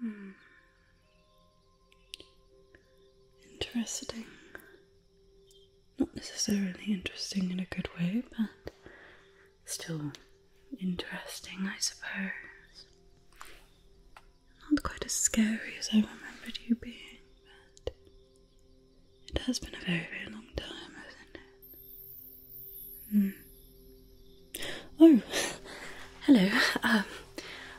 Hmm. Interesting. Not necessarily interesting in a good way, but still interesting, I suppose. Not quite as scary as I remembered you being, but it has been a very, very long time, hasn't it? Hmm. Oh, hello. Um,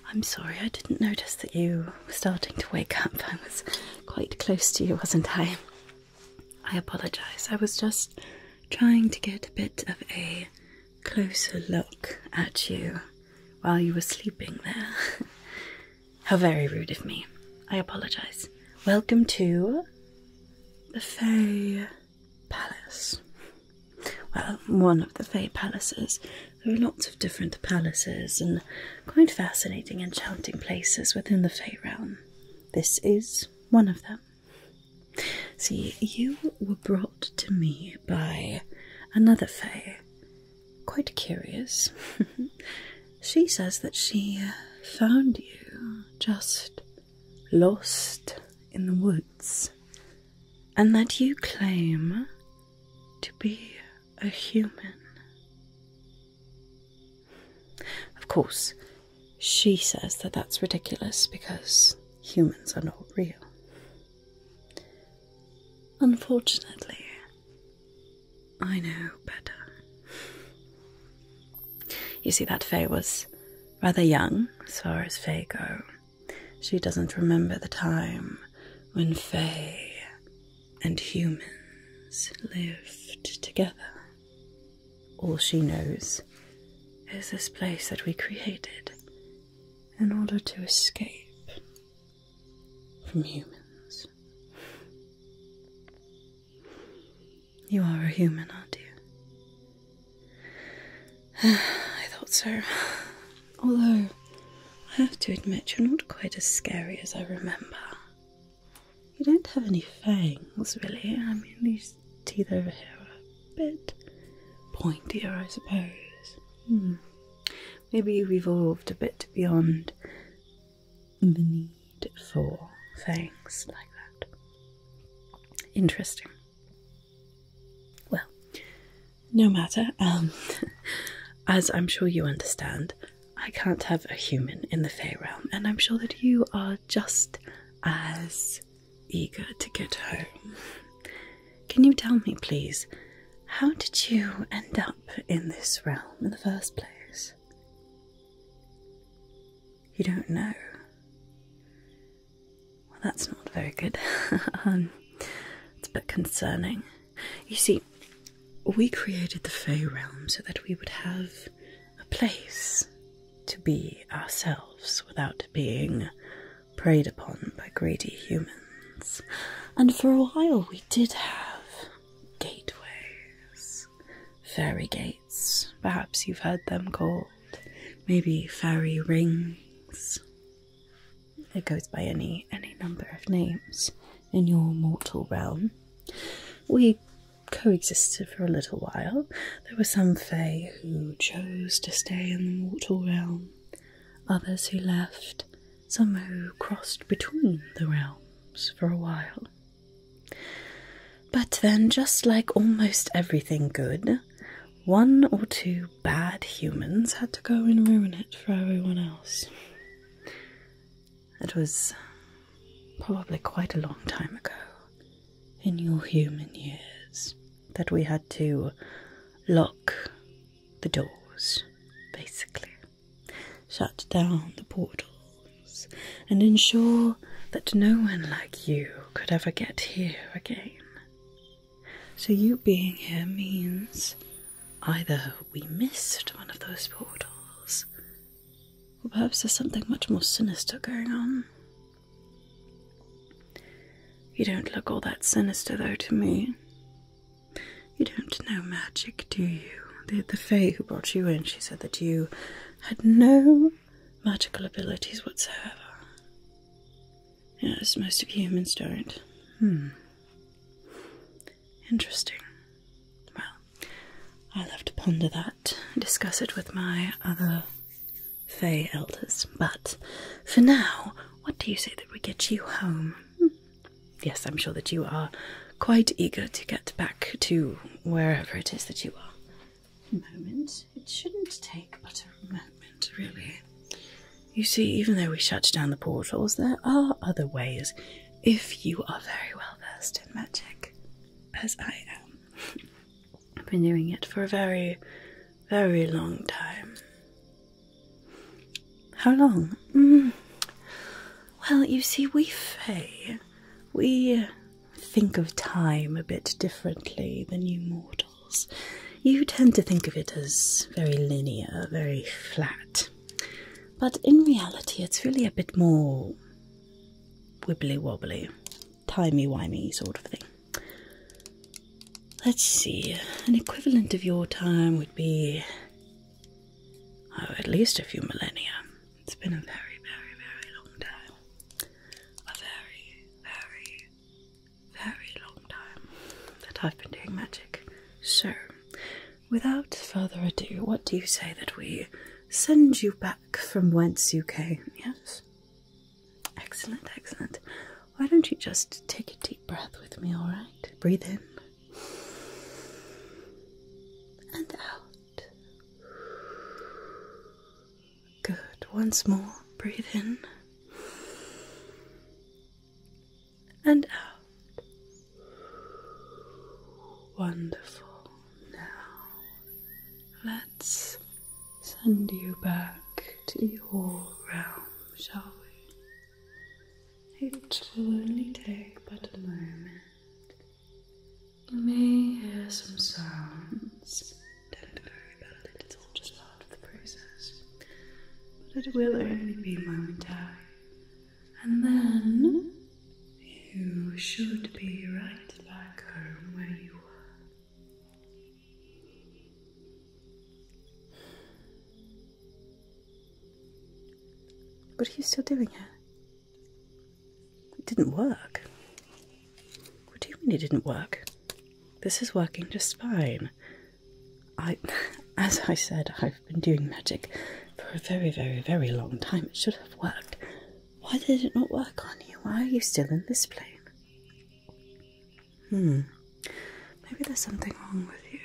I'm sorry, I didn't notice that you were starting to wake up. I was quite close to you, wasn't I? I apologise. I was just trying to get a bit of a closer look at you while you were sleeping there. How very rude of me. I apologise. Welcome to the Fay palace. Well, one of the Fey palaces. There are lots of different palaces and quite fascinating, enchanting places within the Fey realm. This is one of them. See, you were brought to me by another Fey. Quite curious. she says that she found you just lost in the woods, and that you claim to be a human. Of course, she says that that's ridiculous because humans are not real. Unfortunately, I know better. You see, that Faye was rather young, as far as Faye go, she doesn't remember the time when Fae and humans lived together. All she knows is this place that we created in order to escape from humans. You are a human, aren't you? I thought so. Although, I have to admit, you're not quite as scary as I remember. You don't have any fangs, really. I mean, these teeth over here are a bit pointier, I suppose. Hmm. Maybe you've evolved a bit beyond the need for fangs like that. Interesting. Well, no matter. Um, as I'm sure you understand, I can't have a human in the Fey realm, and I'm sure that you are just as eager to get home. Can you tell me, please, how did you end up in this realm in the first place? You don't know that's not very good. Um, it's a bit concerning. You see, we created the Fey realm so that we would have a place to be ourselves without being preyed upon by greedy humans. And for a while, we did have gateways, fairy gates, perhaps you've heard them called, maybe fairy rings. It goes by any any number of names in your mortal realm. We coexisted for a little while. There were some Fae who chose to stay in the mortal realm, others who left, some who crossed between the realms for a while. But then, just like almost everything good, one or two bad humans had to go and ruin it for everyone else. It was probably quite a long time ago, in your human years, that we had to lock the doors, basically, shut down the portals, and ensure that no one like you could ever get here again. So, you being here means either we missed one of those portals, or perhaps there's something much more sinister going on. You don't look all that sinister, though, to me. You don't know magic, do you? The, the Fae who brought you in, she said that you had no magical abilities whatsoever. Yes, most of humans don't. Hmm. Interesting. Well, I'll have to ponder that and discuss it with my other Fey elders. But for now, what do you say that we get you home? Hmm. Yes, I'm sure that you are quite eager to get back to wherever it is that you are. A moment. It shouldn't take but a moment, really. You see, even though we shut down the portals, there are other ways if you are very well versed in magic, as I am. I've been doing it for a very, very long time. How long? Mm. Well, you see, we Fey, we think of time a bit differently than you mortals you tend to think of it as very linear, very flat. But in reality, it's really a bit more wibbly wobbly, timey wimey sort of thing. Let's see, an equivalent of your time would be oh, at least a few millennia. It's been a very, very, very long time. A very, very, very long time that I've been doing magic. So, without further ado, what do you say that we send you back from whence you came? Yes? Excellent, excellent. Why don't you just take a deep breath with me, alright? Breathe in and out. Good. Once more. Breathe in and out. Wonderful. Now let's send you back to your realm, shall we? It will only take but a moment. You may hear some sounds don't worry about it's all just part of the process. But it will only be a momentary. And then you should be right back home where you were. What are you still doing it. It didn't work. What do you mean it didn't work? This is working just fine. I, as I said, I've been doing magic for a very, very, very long time. It should have worked. Why did it not work on you? Why are you still in this plane? Hmm. Maybe there's something wrong with you.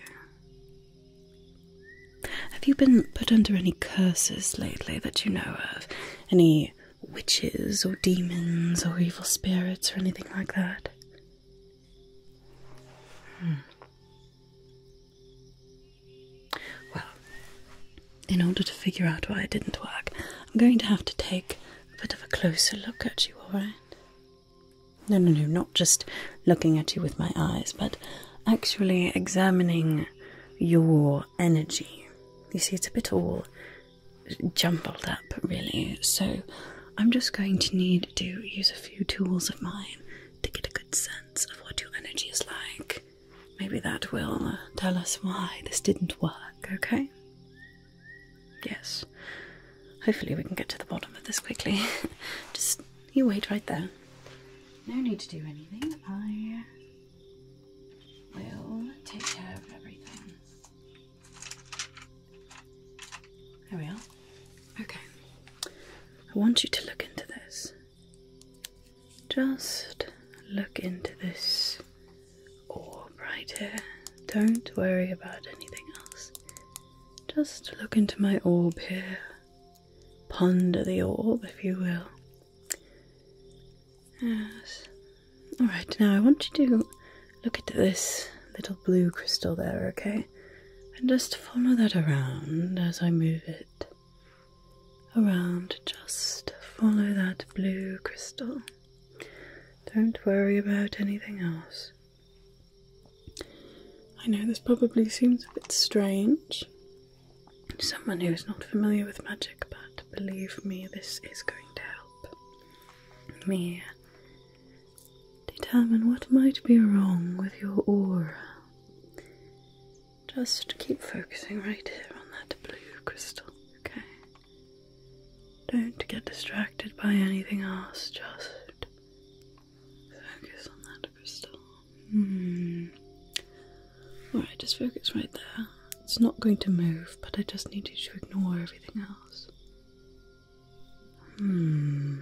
Have you been put under any curses lately that you know of? Any witches or demons or evil spirits or anything like that? Hmm. Well, in order to figure out why it didn't work, I'm going to have to take a bit of a closer look at you, alright? No, no, no, not just looking at you with my eyes, but actually examining your energy. You see, it's a bit all jumbled up, really. So I'm just going to need to use a few tools of mine to get a good sense of what your energy is like. Maybe that will uh, tell us why this didn't work, okay? Yes. Hopefully, we can get to the bottom of this quickly. just you wait right there. No need to do anything. I will take care of everything. There we are. Okay. I want you to look into this. Just look into this orb right here. Don't worry about anything else. Just look into my orb here. Ponder the orb, if you will. Yes. Alright, now I want you to Look at this little blue crystal there, okay? And just follow that around as I move it. Around, just follow that blue crystal. Don't worry about anything else. I know this probably seems a bit strange someone who is not familiar with magic, but believe me, this is going to help me determine what might be wrong with your aura. Just keep focusing right here on that blue crystal, okay? Don't get distracted by anything else, just focus on that crystal. Hmm. Alright, just focus right there. It's not going to move, but I just need you to ignore everything else. Hmm.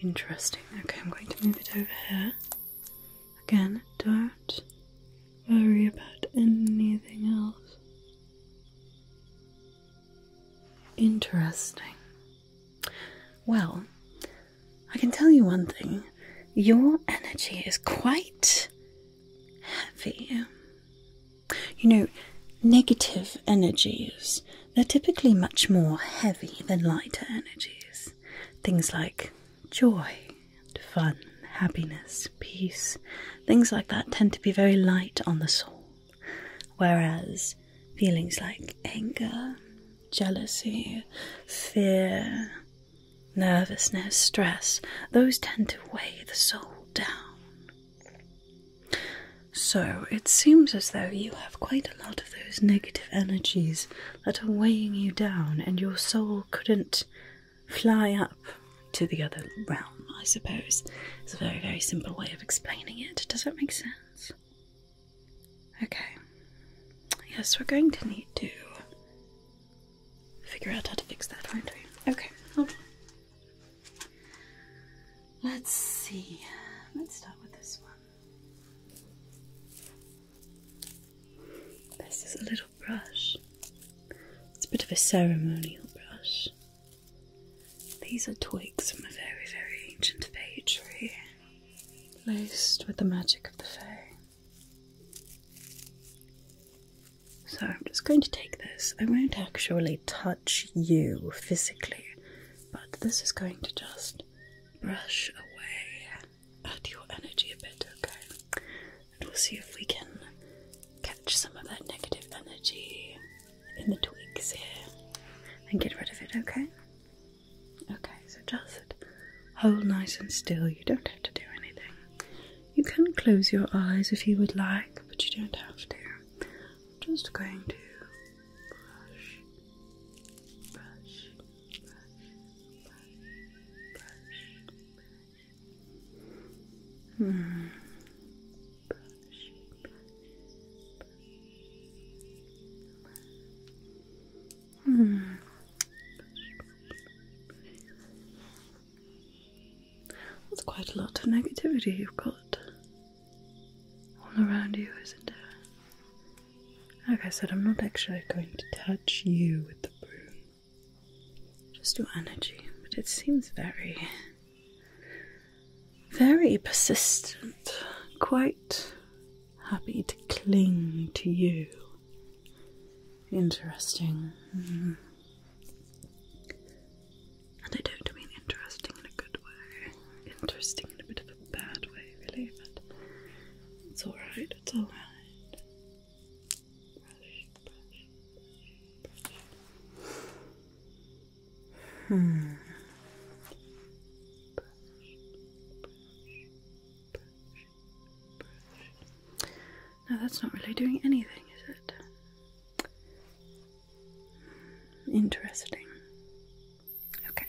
Interesting. Okay, I'm going to move it over here. Again, don't worry about anything else. Interesting. Well, I can tell you one thing. Your energy is quite heavy. You know, negative energies, they're typically much more heavy than lighter energies. Things like joy, fun, happiness, peace, things like that tend to be very light on the soul. Whereas feelings like anger, jealousy, fear, nervousness, stress, those tend to weigh the soul down. So it seems as though you have quite a lot of those negative energies that are weighing you down, and your soul couldn't fly up to the other realm, I suppose. It's a very, very simple way of explaining it. Does that make sense? Okay. Yes, we're going to need to figure out how to fix that, aren't we? Okay, hold Let's see. Let's start with this one. This is a little brush. It's a bit of a ceremonial brush. These are twigs from a very, very ancient fay tree, laced with the magic of the fay. So I'm just going to take this. I won't actually touch you physically, but this is going to just brush away at your energy a bit, okay? And we'll see if we can catch some of that negative energy in the twigs here and get rid of it, okay? Okay, so just hold nice and still. You don't have to do anything. You can close your eyes if you would like, but you don't have to just going to brush, brush, brush, brush, brush, brush. Hmm. Hmm. That's quite a lot of negativity you've got all around you, isn't there? Like I said, I'm not actually going to touch you with the broom, just your energy, but it seems very, very persistent, quite happy to cling to you. Interesting. Mm-hmm. And I don't mean interesting in a good way. Interesting in a bit of a bad way, really, but it's alright, it's alright. Brush, Hmm. Brush, that's not really doing anything, is it? Interesting. Okay,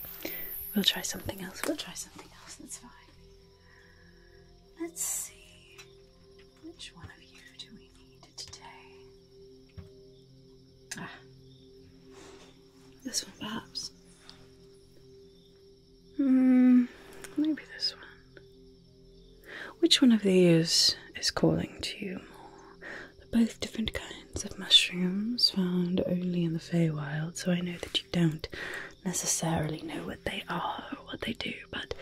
we'll try something else. We'll try something else. That's fine. Let's see. Which one of you do we need today? Ah. this one perhaps. Hmm, maybe this one. Which one of these is calling to you more? They're both different kinds of mushrooms found only in the Feywild, so I know that you don't necessarily know what they are or what they do, but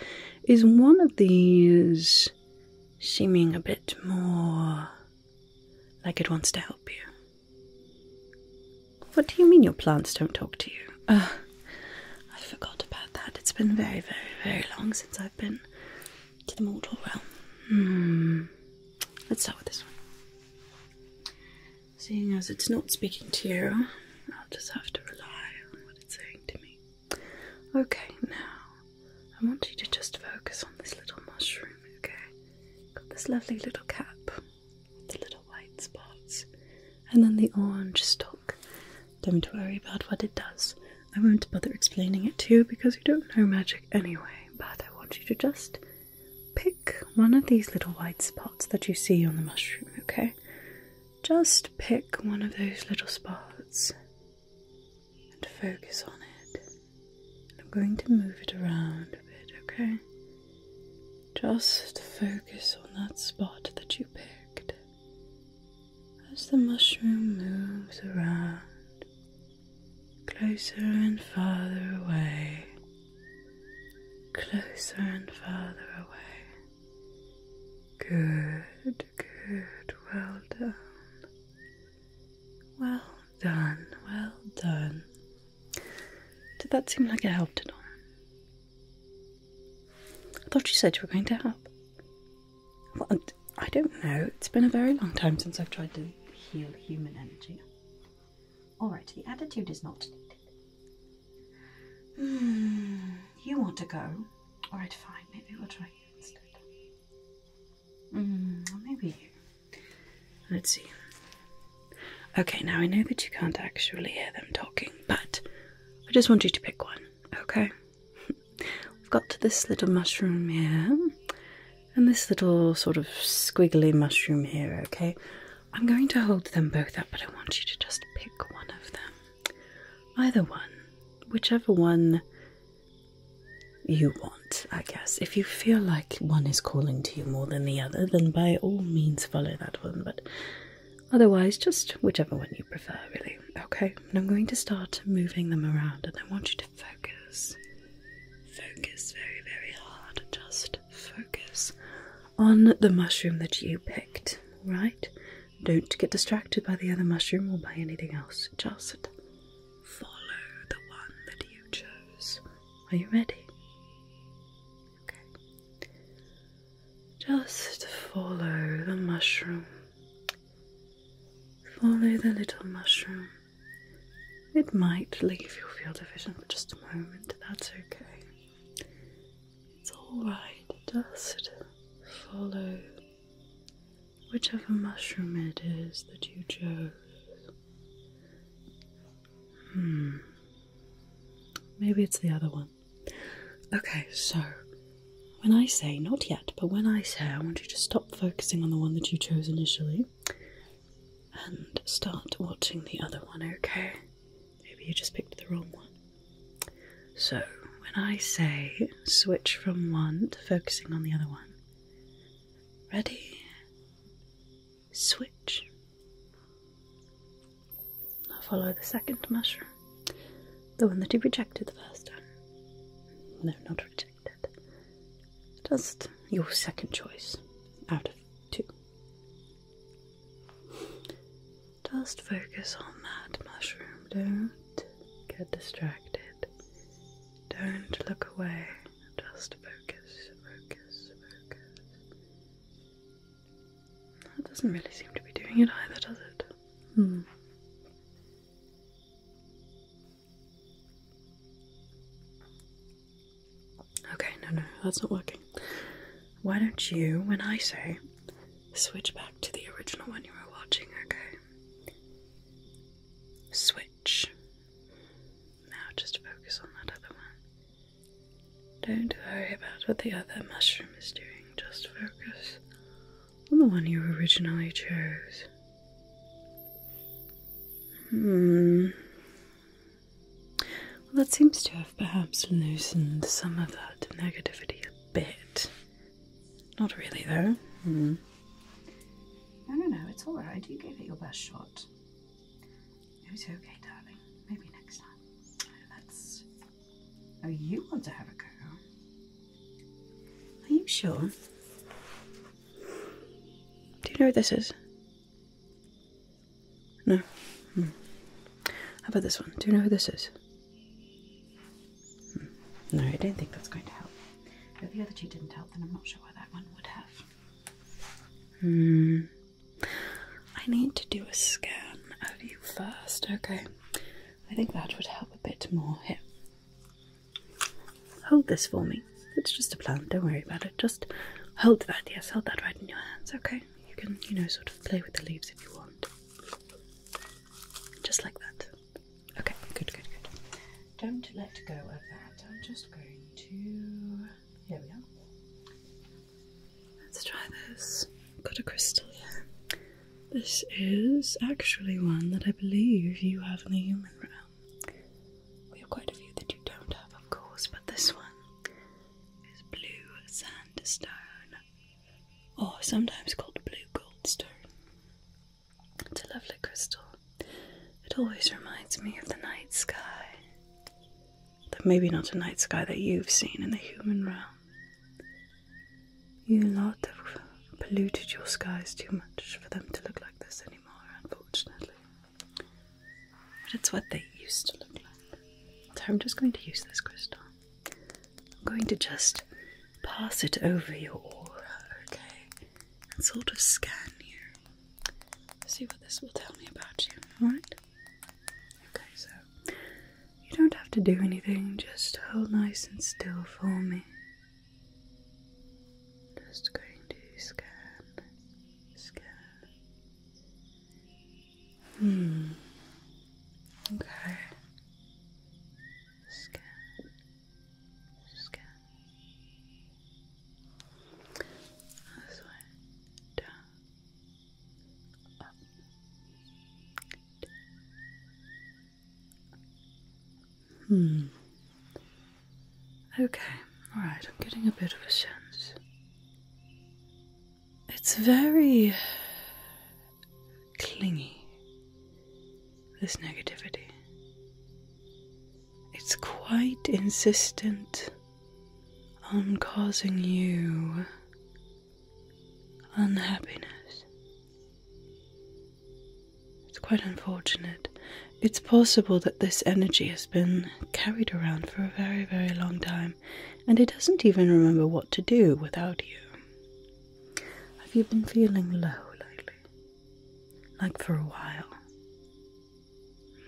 is one of these seeming a bit more like it wants to help you? What do you mean your plants don't talk to you? Uh, I forgot about that. It's been very, very, very long since I've been to the mortal realm. Hmm. Let's start with this one. Seeing as it's not speaking to you, I'll just have to rely on what it's saying to me. Okay, now I want you to just focus on this little mushroom, okay? Got this lovely little cap, with the little white spots, and then the orange stalk. Don't worry about what it does. I won't bother explaining it to you because you don't know magic anyway, but I want you to just pick one of these little white spots that you see on the mushroom, okay? Just pick one of those little spots and focus on it. I'm going to move it around a bit, okay? Just focus on that spot that you picked. As the mushroom moves around, closer and farther away, closer and farther away. Good, good, well done. Well done, well done. Did that seem like it helped at all? I thought you said you were going to help. I don't know. It's been a very long time since I've tried to heal human energy. Alright, the attitude is not needed. Hmm, you want to go? Alright, fine. Maybe we'll try you instead. Hmm, maybe Let's see. Okay, now I know that you can't actually hear them talking, but I just want you to pick one, okay? We've got this little mushroom here and this little sort of squiggly mushroom here, okay? I'm going to hold them both up, but I want you to just pick one of them. Either one, whichever one you want, I guess. If you feel like one is calling to you more than the other, then by all means follow that one, but otherwise, just whichever one you prefer, really. Okay, and I'm going to start moving them around, and I want you to focus focus. Focus very, very hard. Just focus on the mushroom that you picked, right? Don't get distracted by the other mushroom or by anything else. Just follow the one that you chose. Are you ready? Okay. Just follow the mushroom. Follow the little mushroom. It might leave your field of vision for just a moment, that's okay. It's alright, just follow whichever mushroom it is that you chose. Hmm. Maybe it's the other one. Okay, so when I say not yet but when I say, I want you to stop focusing on the one that you chose initially and start watching the other one, okay? Maybe you just picked the wrong one. So, when I say switch from one to focusing on the other one, ready? Switch. Now follow the second mushroom, the one that you rejected the first time. No, not rejected. Just your second choice out of two. Just focus on that mushroom. Don't get distracted. Don't look away. Just focus, focus, focus. That doesn't really seem to be doing it either, does it? Hmm. Okay, no, no, that's not working. Why don't you, when I say, switch back to the original one you were watching, okay? Switch. Now just focus on that other one. Don't worry about what the other mushroom is doing, just focus on the one you originally chose. Hmm. Well, that seems to have perhaps loosened some of that negativity a bit. Not really, though. Mm. No, no, no, it's alright. You gave it your best shot. It was okay, darling. Maybe next time. let Oh, you want to have a go? Are you sure? Do you know what this is? No. Hmm. How about this one? Do you know who this is? Hmm. No, I don't think that's going to help. If the other two didn't help, then I'm not sure why that one would have. Hmm. I need to do a scan of you first, okay? I think that would help a bit more. Here, Hold this for me. It's just a plant, don't worry about it. Just hold that, yes, hold that right in your hands, okay? You can, you know, sort of play with the leaves if you want. Just like that. Okay, good, good, good. Don't let go of that. I'm just going to. Here we are. Let's try this. Got a crystal here. This is actually one that I believe you have in the human realm we have quite a few that you don't have, of course, but this one is blue sandstone, or sometimes called blue goldstone. It's a lovely crystal. It always reminds me of the night sky. Though maybe not a night sky that you've seen in the human realm. You lot have polluted your skies too much for them to look like this anymore, unfortunately. But it's what they used to look like. So I'm just going to use this crystal. I'm going to just pass it over your aura, okay? And sort of scan you. See what this will tell me about you, alright? Okay, so you don't have to do anything, just hold nice and still for me. Just going to scan, scan. Hmm. Okay. Scan, scan. This way, down, up, Hmm. Okay, alright, I'm getting a bit of a sense. It's very clingy, this negativity. It's quite insistent on causing you unhappiness. It's quite unfortunate. It's possible that this energy has been carried around for a very, very long time and it doesn't even remember what to do without you. Have you been feeling low lately? Like for a while?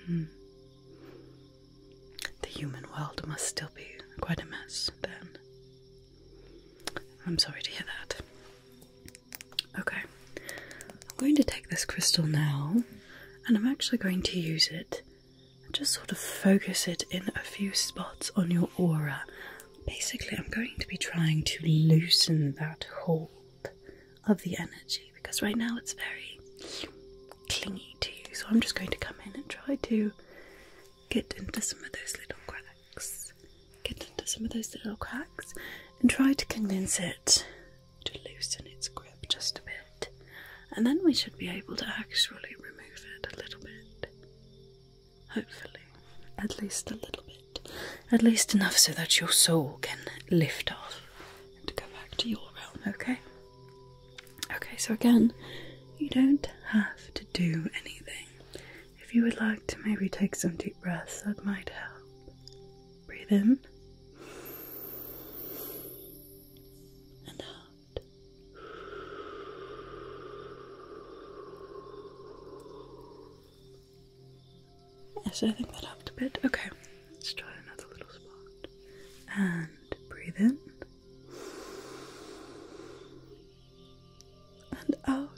Hmm. The human world must still be quite a mess then. I'm sorry to hear that. Okay, I'm going to take this crystal now and I'm actually going to use it just sort of focus it in a few spots on your aura. Basically, I'm going to be trying to loosen that hold of the energy because right now it's very clingy to you. So I'm just going to come in and try to get into some of those little cracks. Get into some of those little cracks and try to convince it to loosen its grip just a bit, and then we should be able to actually remove it a little bit. Hopefully, at least a little bit, at least enough so that your soul can lift off and go back to your realm, okay? Okay, so again, you don't have to do anything. If you would like to maybe take some deep breaths, that might help. Breathe in and out. Yes, I think that helped a bit. Okay, let's try another little spot. And breathe in and out.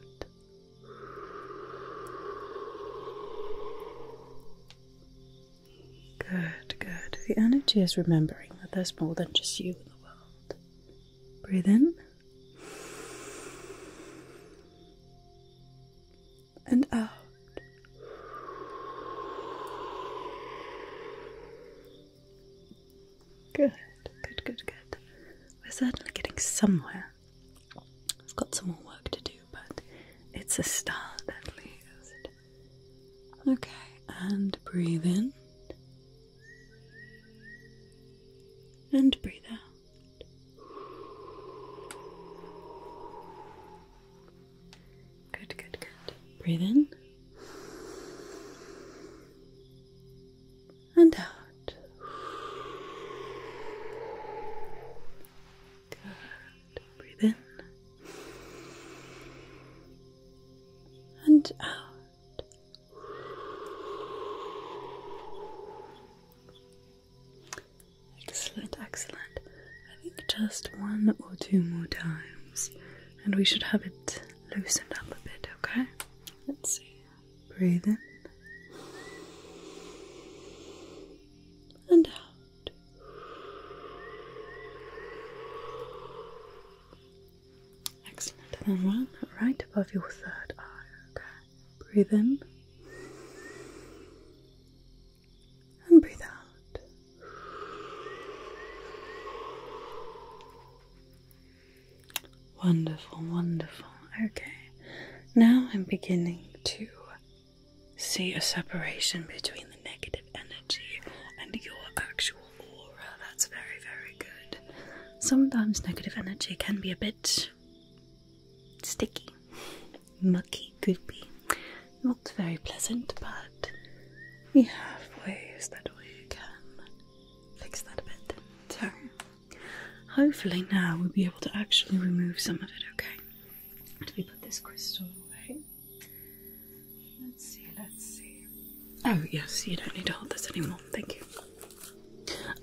Good, good. The energy is remembering that there's more than just you in the world. Breathe in and out. Good, good, good, good. We're certainly getting somewhere. I've got some more work to do, but it's a start at least. Okay, and breathe in. And breathe out. Good, good, good. Breathe in. And out. Good. Breathe in and out. Excellent, excellent. I think just one or two more times, and we should have it loosened up a bit, okay? Let's see. Breathe in and out. Excellent. then one right above your third eye. Okay. Breathe in. And breathe out. Wonderful, wonderful. Okay. Now I'm beginning to see a separation between the negative energy and your actual aura. That's very, very good. Sometimes negative energy can be a bit sticky, mucky, goopy. Not very pleasant, but we have ways that we can fix that a bit. So, hopefully, now we'll be able to actually remove some of it, okay? Do we put this crystal away. Let's see, let's see. Oh, yes, you don't need to hold this anymore. Thank you.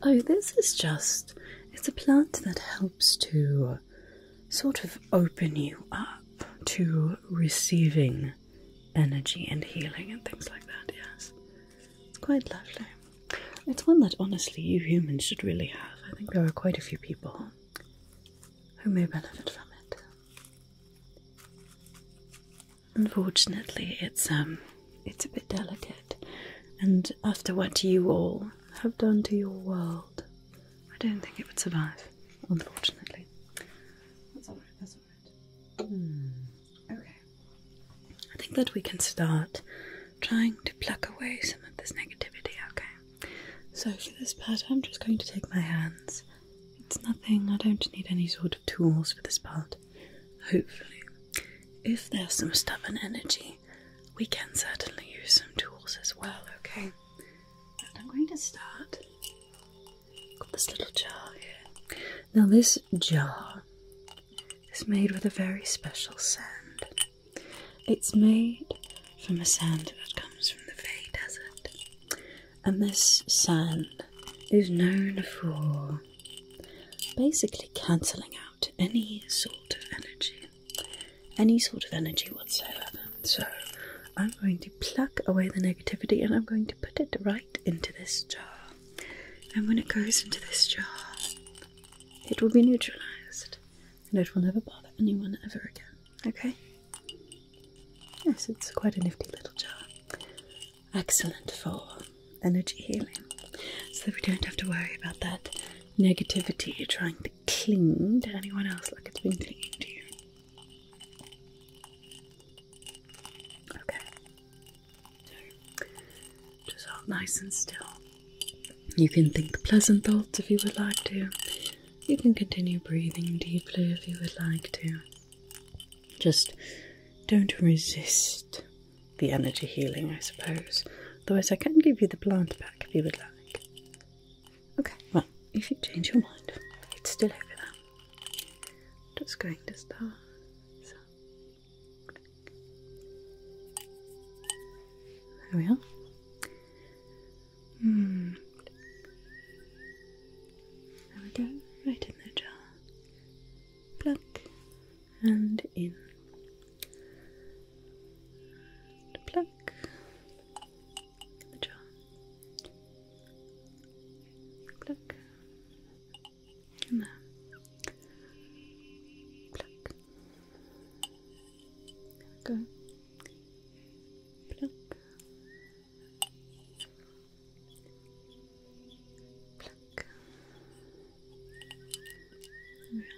Oh, this is just, it's a plant that helps to sort of open you up to receiving energy and healing and things like that, yes. It's quite lovely. It's one that honestly you humans should really have. I think there are quite a few people who may benefit from it. Unfortunately, it's um, it's a bit delicate, and after what you all have done to your world, I don't think it would survive. Unfortunately, that's alright. That's alright. Hmm. Okay. I think that we can start trying to pluck away some of this negativity. Okay. So for this part I'm just going to take my hands. It's nothing, I don't need any sort of tools for this part. Hopefully. If there's some stubborn energy, we can certainly use some tools as well, okay? And I'm going to start. Got this little jar here. Now this jar is made with a very special sand. It's made from a sand that comes from the Fey Desert, and this sand is known for basically cancelling out any sort of energy, any sort of energy whatsoever. So I'm going to pluck away the negativity and I'm going to put it right into this jar. And when it goes into this jar, it will be neutralized and it will never bother anyone ever again. Okay? Yes, it's quite a nifty little jar. Excellent for energy healing. So we don't have to worry about that negativity trying to cling to anyone else like it's been clinging to you. Okay. just hold nice and still. You can think pleasant thoughts if you would like to. You can continue breathing deeply if you would like to. Just don't resist the energy healing, I suppose. Otherwise, I can give you the plant back if you would like. Okay, well, if you change your mind, it's still over there. Just going to start. So. There we are. Hmm. There we go, right in the jar. Pluck and in. pluck the jar. Pluck in there. Pluck. go. Pluck. Pluck. Rub.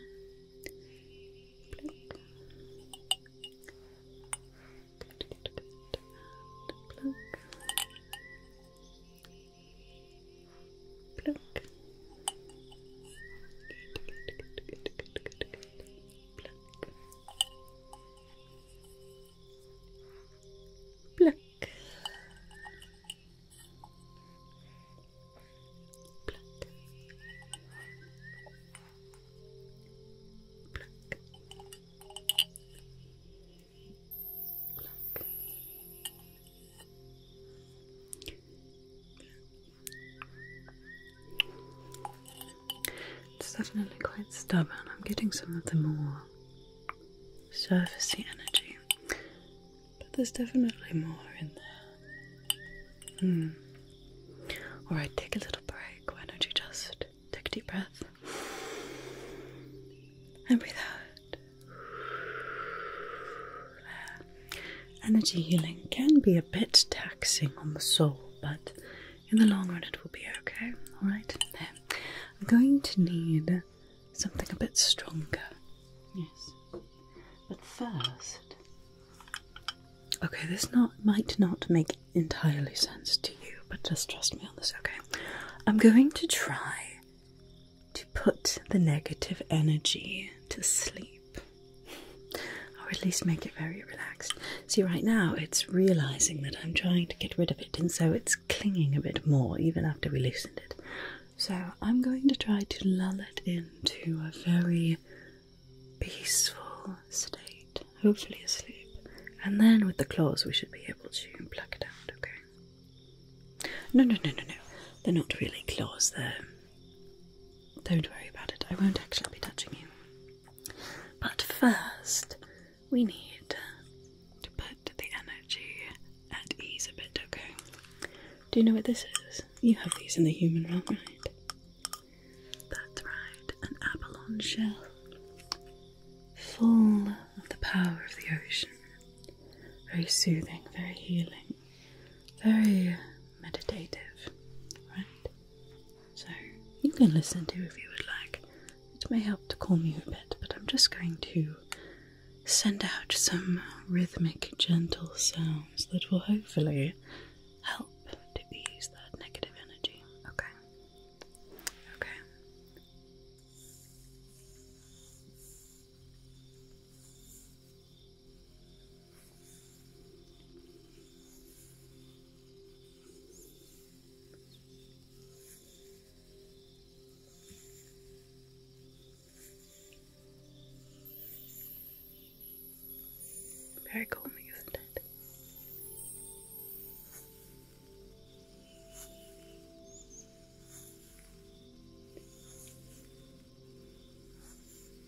Pluck. Good, good, Black. Pluck. Pluck. Pluck. Pluck. It's definitely quite stubborn. I'm getting some of the more surfacey energy, but there's definitely more in there. Hmm. Alright, take a little break. Why don't you just take a deep breath and breathe out? Energy healing can be a bit taxing on the soul, but in the long run it will be okay. Alright, I'm going to need something a bit stronger. Yes. But first, okay, this not might not make entirely sense to you, but just trust me on this, okay? I'm going to try to put the negative energy to sleep or at least make it very relaxed. See, right now it's realizing that I'm trying to get rid of it, and so it's clinging a bit more even after we loosened it. So I'm going to try to lull it into a very peaceful state, hopefully asleep, and then with the claws we should be able to pluck it out, okay? No, no, no, no, no. They're not really claws, they don't worry about it, I won't actually be touching you. But first, we need to put the energy at ease a bit, okay? Do you know what this is? You have these in the human realm, right? That's right, an abalone shell full of the power of the ocean. Very soothing, very healing, very meditative, right? So you can listen to if you would like. It may help to calm you a bit, but I'm just going to send out some rhythmic, gentle sounds that will hopefully help to ease that negative energy. Okay. Okay. Very calming, isn't it?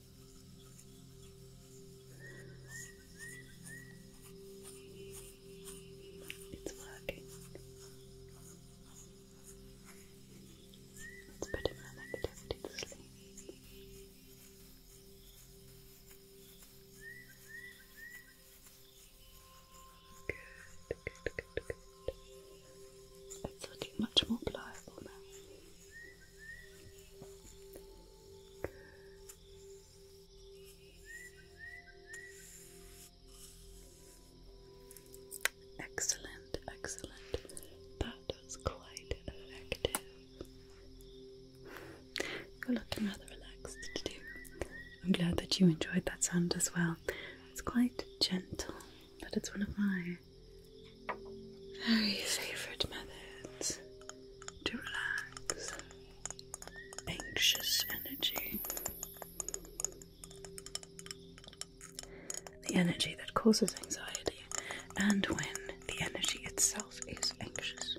It's working. Let's put him to sleep. Good, good, good, good. It's looking much more pliable now. Excellent, excellent. That was quite effective. You're looking rather relaxed to I'm glad that you enjoyed that sound as well. It's quite gentle, but it's one of my very favourite methods to relax anxious energy. The energy that causes anxiety, and when the energy itself is anxious.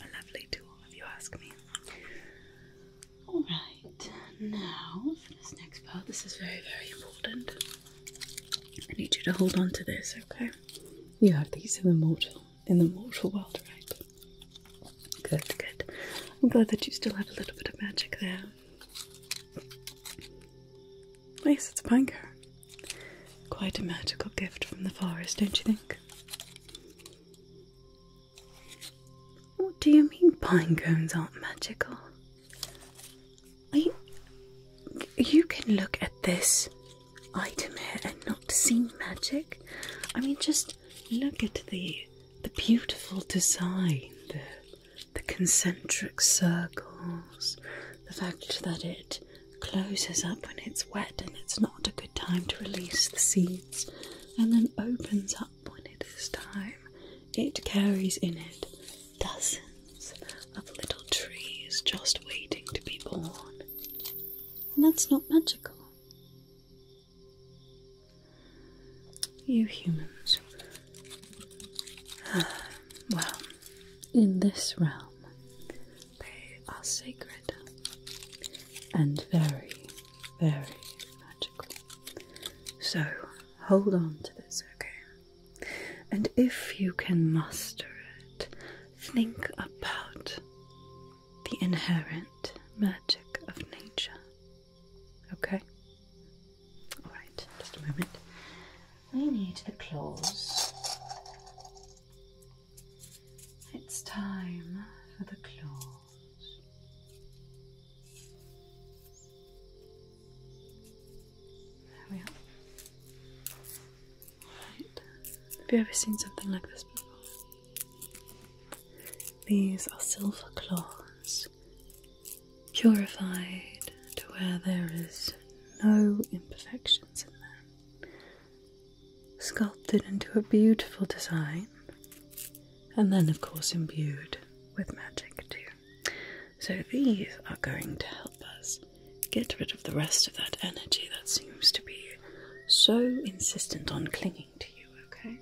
A lovely tool, if you ask me. All right, now for this next part, this is very, very important. I need you to hold on to this, okay? You have these in the mortal, in the mortal world, right? Good, good. I'm glad that you still have a little bit of magic there. Yes, it's a banker. Quite a magical gift from the forest, don't you think? What do you mean pine cones aren't magical? you can look at this item here and not see magic. I mean, just look at the the beautiful design, the concentric circles, the fact that it closes up when it's wet and it's not a good time to release the seeds, and then opens up when it is time, it carries in it dozens of little trees just waiting to be born. And that's not magical. You humans. Ah, well, in this realm, they are sacred and very, very magical. So, hold on to this, okay? And if you can muster it, think about the inherent magic of nature, okay? Alright, just a moment. We need the claws. It's time for the claws. Have you ever seen something like this before? These are silver claws, purified to where there is no imperfections in them, sculpted into a beautiful design, and then, of course, imbued with magic too. So these are going to help us get rid of the rest of that energy that seems to be so insistent on clinging to you, okay?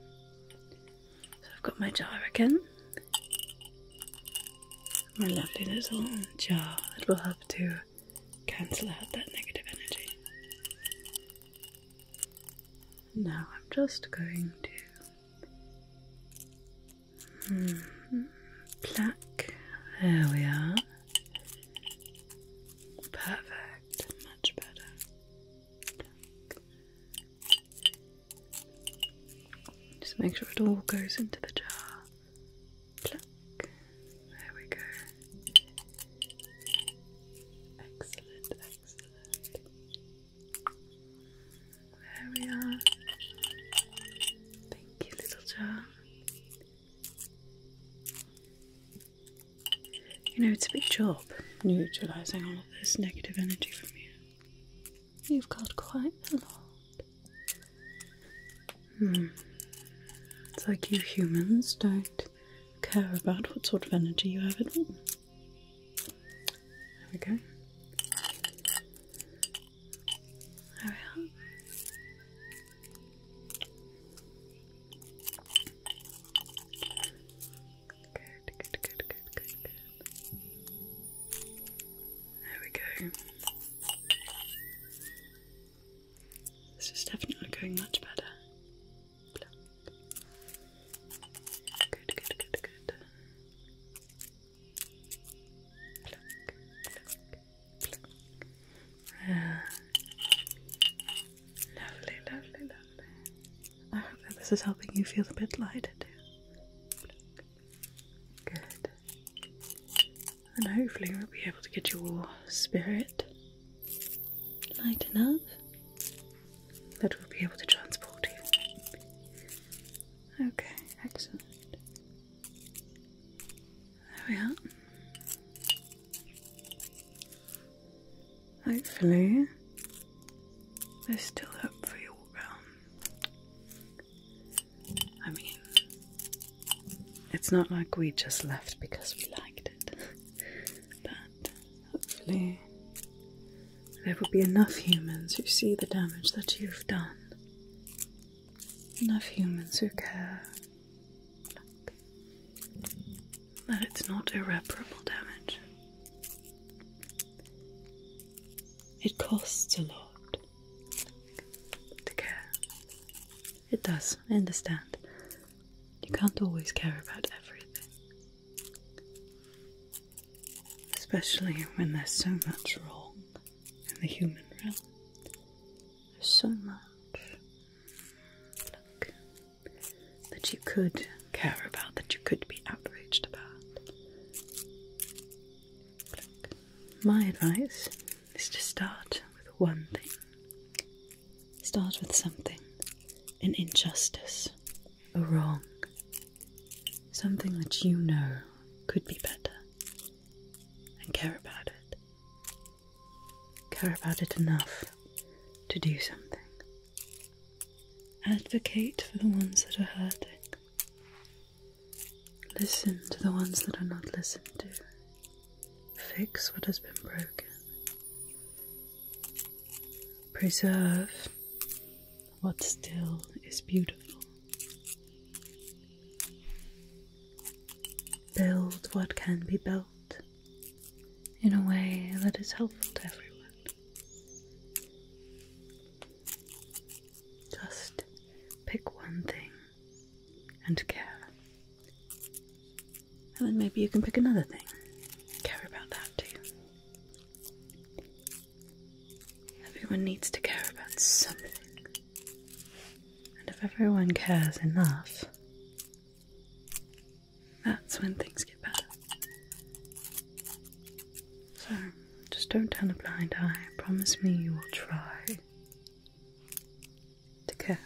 So I've got my jar again. My lovely little jar It will help to cancel out that negative energy. Now I'm just going to Mm There we are. Perfect. Much better. Just make sure it all goes into the jar. Pluck. There we go. Excellent, excellent. There we are. Thank you, little John. You know, it's a big job neutralising all of this negative energy from you. You've got quite a lot. Hmm. It's like you humans don't care about what sort of energy you have at all. There we go. There we are. good, good, good, good, good. There we go. This is definitely going much better. Good, good, good, good. Lovely, lovely, lovely. I hope that this is helping you feel a bit lighter Good. And hopefully we'll be able to get your spirit light enough that we'll be able to transport you Okay, excellent. There we are. Hopefully, there's still hope for you all um, round. I mean, it's not like we just left because we liked it, but hopefully, there will be enough humans who see the damage that you've done. Enough humans who care. Look. That it's not irreparable damage. It costs a lot to care. It does, I understand. You can't always care about everything especially when there's so much wrong in the human realm. There's so much that you could care about, that you could be outraged about. my advice is to start with one thing. Start with something, an injustice, a wrong, Something that you know could be better. And care about it. Care about it enough to do something. Advocate for the ones that are hurting. Listen to the ones that are not listened to. Fix what has been broken. Preserve what still is beautiful. Build what can be built in a way that is helpful to everyone. Just pick one thing and care. And then maybe you can pick another thing. Care about that too. Everyone needs to care about something. And if everyone cares enough, that's when things get better. So, just don't turn a blind eye. Promise me you will try to care.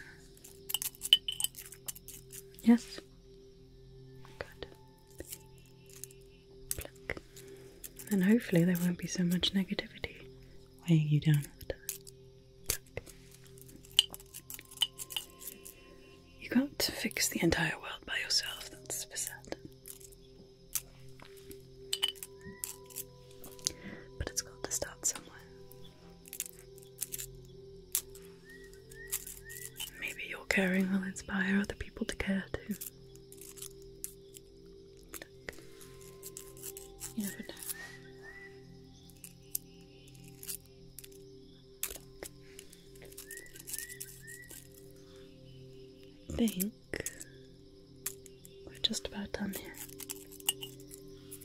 Yes? Good. Pluck. And hopefully there won't be so much negativity weighing you down You can't fix the entire world by yourself, that's for certain. But it's got to start somewhere. Maybe your caring will inspire other people to care too think we're just about done here.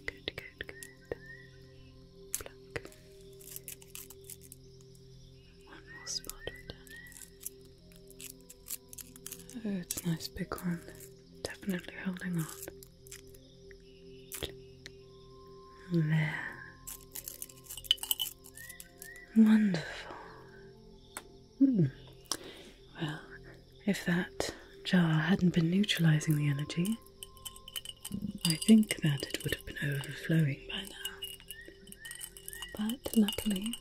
Good, good, good. One more spot right down here. Oh, it's a nice big one. Definitely holding on. There. Wonderful. Hmm. Well, if that jar hadn't been neutralizing the energy, I think that it would have been overflowing by now. But luckily,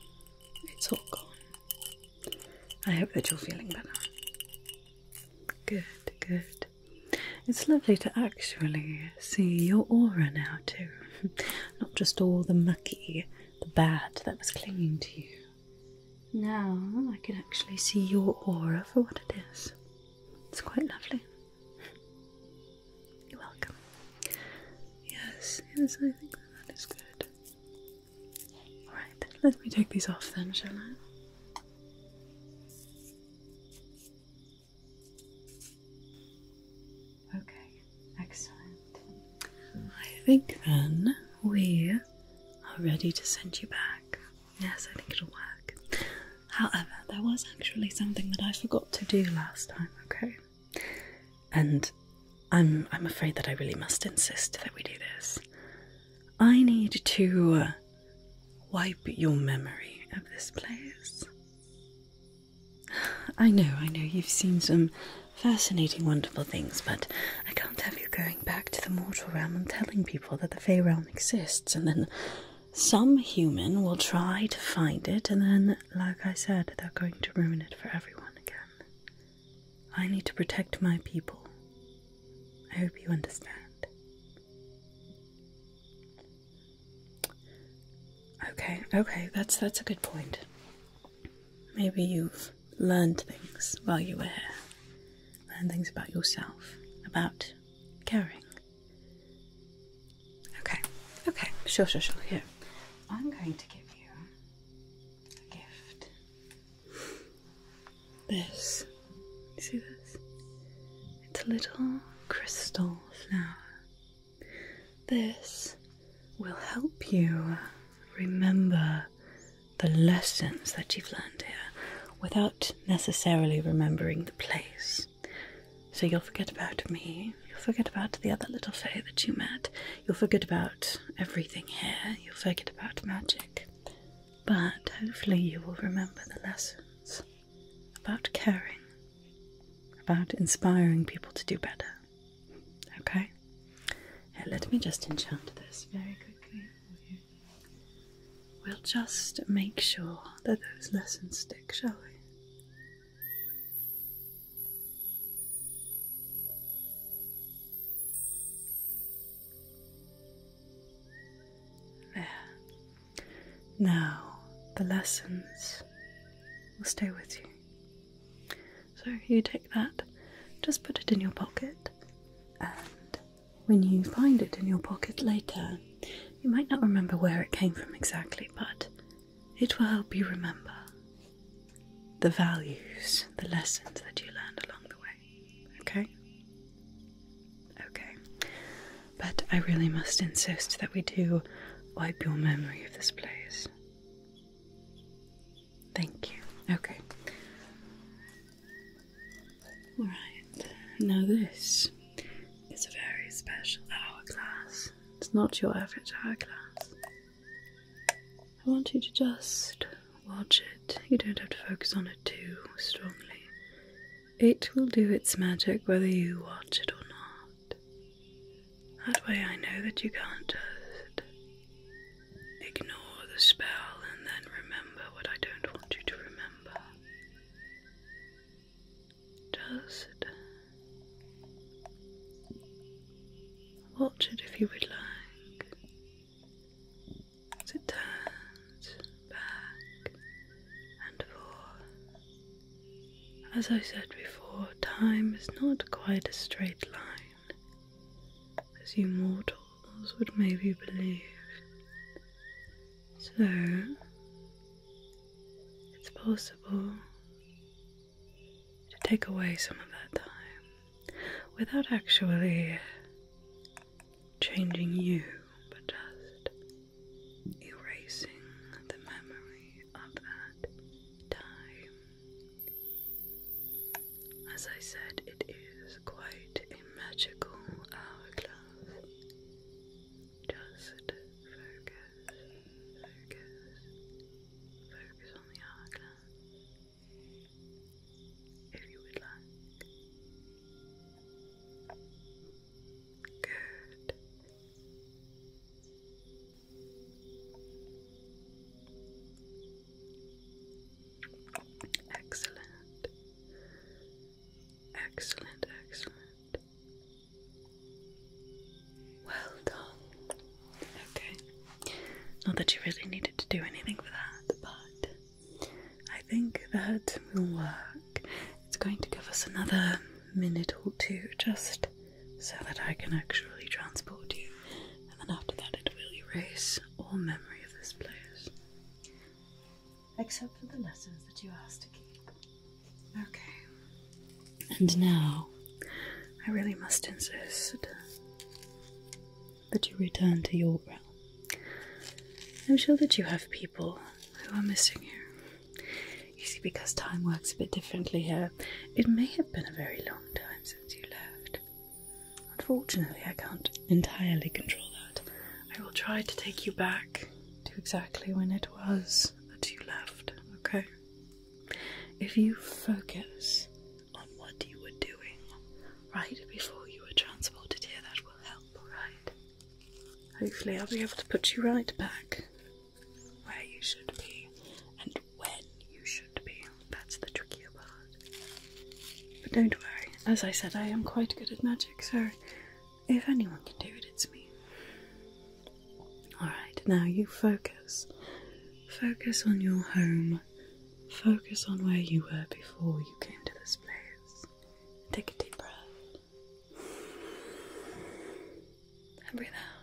it's all gone. I hope that you're feeling better. Good, good. It's lovely to actually see your aura now, too. Not just all the mucky, the bad that was clinging to you. Now I can actually see your aura for what it is. It's quite lovely. You're welcome. Yes, yes, I think that is good. Alright, let me take these off then, shall I? Okay, excellent. I think then we are ready to send you back. Yes, I think it'll work. However, there was actually something that I forgot to do last time, okay? And I'm I'm afraid that I really must insist that we do this. I need to uh, wipe your memory of this place. I know, I know you've seen some fascinating, wonderful things, but I can't have you going back to the mortal realm and telling people that the Fey realm exists, and then some human will try to find it, and then, like I said, they're going to ruin it for everyone again. I need to protect my people. I hope you understand. Okay, okay, that's that's a good point. Maybe you've learned things while you were here. Learned things about yourself, about caring. Okay, okay, sure, sure, sure. Here, I'm going to give you a gift. This, see this? It's a little crystal flower. This will help you remember the lessons that you've learned here without necessarily remembering the place. So you'll forget about me, you'll forget about the other little fae that you met, You'll forget about everything here, you'll forget about magic, but hopefully you will remember the lessons about caring, about inspiring people to do better. Okay? let me just enchant this very quickly. We'll just make sure that those lessons stick, shall we? Now the lessons will stay with you. So you take that, just put it in your pocket, and when you find it in your pocket later, you might not remember where it came from exactly, but it will help you remember the values, the lessons that you learned along the way. Okay? Okay. But I really must insist that we do wipe your memory of this place. Thank you. Okay. Alright, now this is a very special hourglass. It's not your average hourglass. I want you to just watch it. You don't have to focus on it too strongly. It will do its magic whether you watch it or not. That way I know that you can't just ignore the spell and then remember what I don't want you to remember. Just Watch it if you would like as it turns back and forth. As I said before, time is not quite a straight line as you mortals would maybe believe. So, it's possible to take away some of that time without actually changing you, but just erasing the memory of that time. As I said, it is quite a magical hourglass. Just focus, focus, focus on the hourglass if you would like. Good. Excellent. Excellent, excellent. Well done. Okay. Not that you really needed to do anything for that, but I think that will work. It's going to give us another minute or two just so that I can actually transport you, and then after that, it will erase all memory of this place. Except for the lessons that you asked to keep. Okay. And now I really must insist that you return to your realm. I'm sure that you have people who are missing you. You see, because time works a bit differently here, it may have been a very long time since you left. Unfortunately, I can't entirely control that. I will try to take you back to exactly when it was that you left, okay? If you focus on what you were doing right before you were transported here. That will help, alright? Hopefully, I'll be able to put you right back where you should be and when you should be. That's the trickier part. But don't worry, as I said, I am quite good at magic, so if anyone can do it, it's me. Alright, now you focus. Focus on your home focus on where you were before you came to this place. Take a deep breath. And breathe out.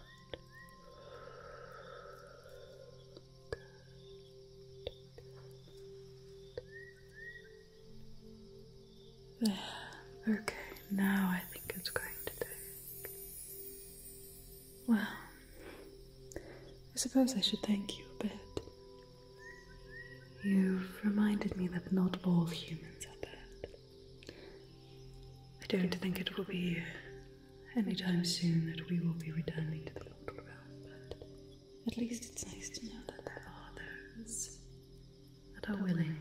Okay, now I think it's going to take well, I suppose I should thank you a bit. You've reminded me that not all humans are bad. I don't think it will be any time soon that we will be returning to the mortal realm, but at least it's nice to know that there are those that are willing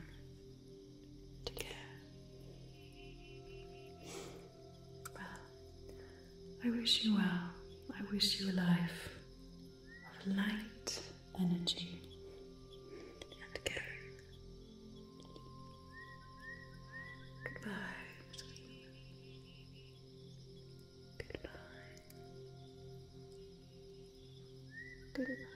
to care. Well, I wish you well. I wish you a life of light, energy, and caring. Goodbye. Goodbye. Goodbye. Goodbye.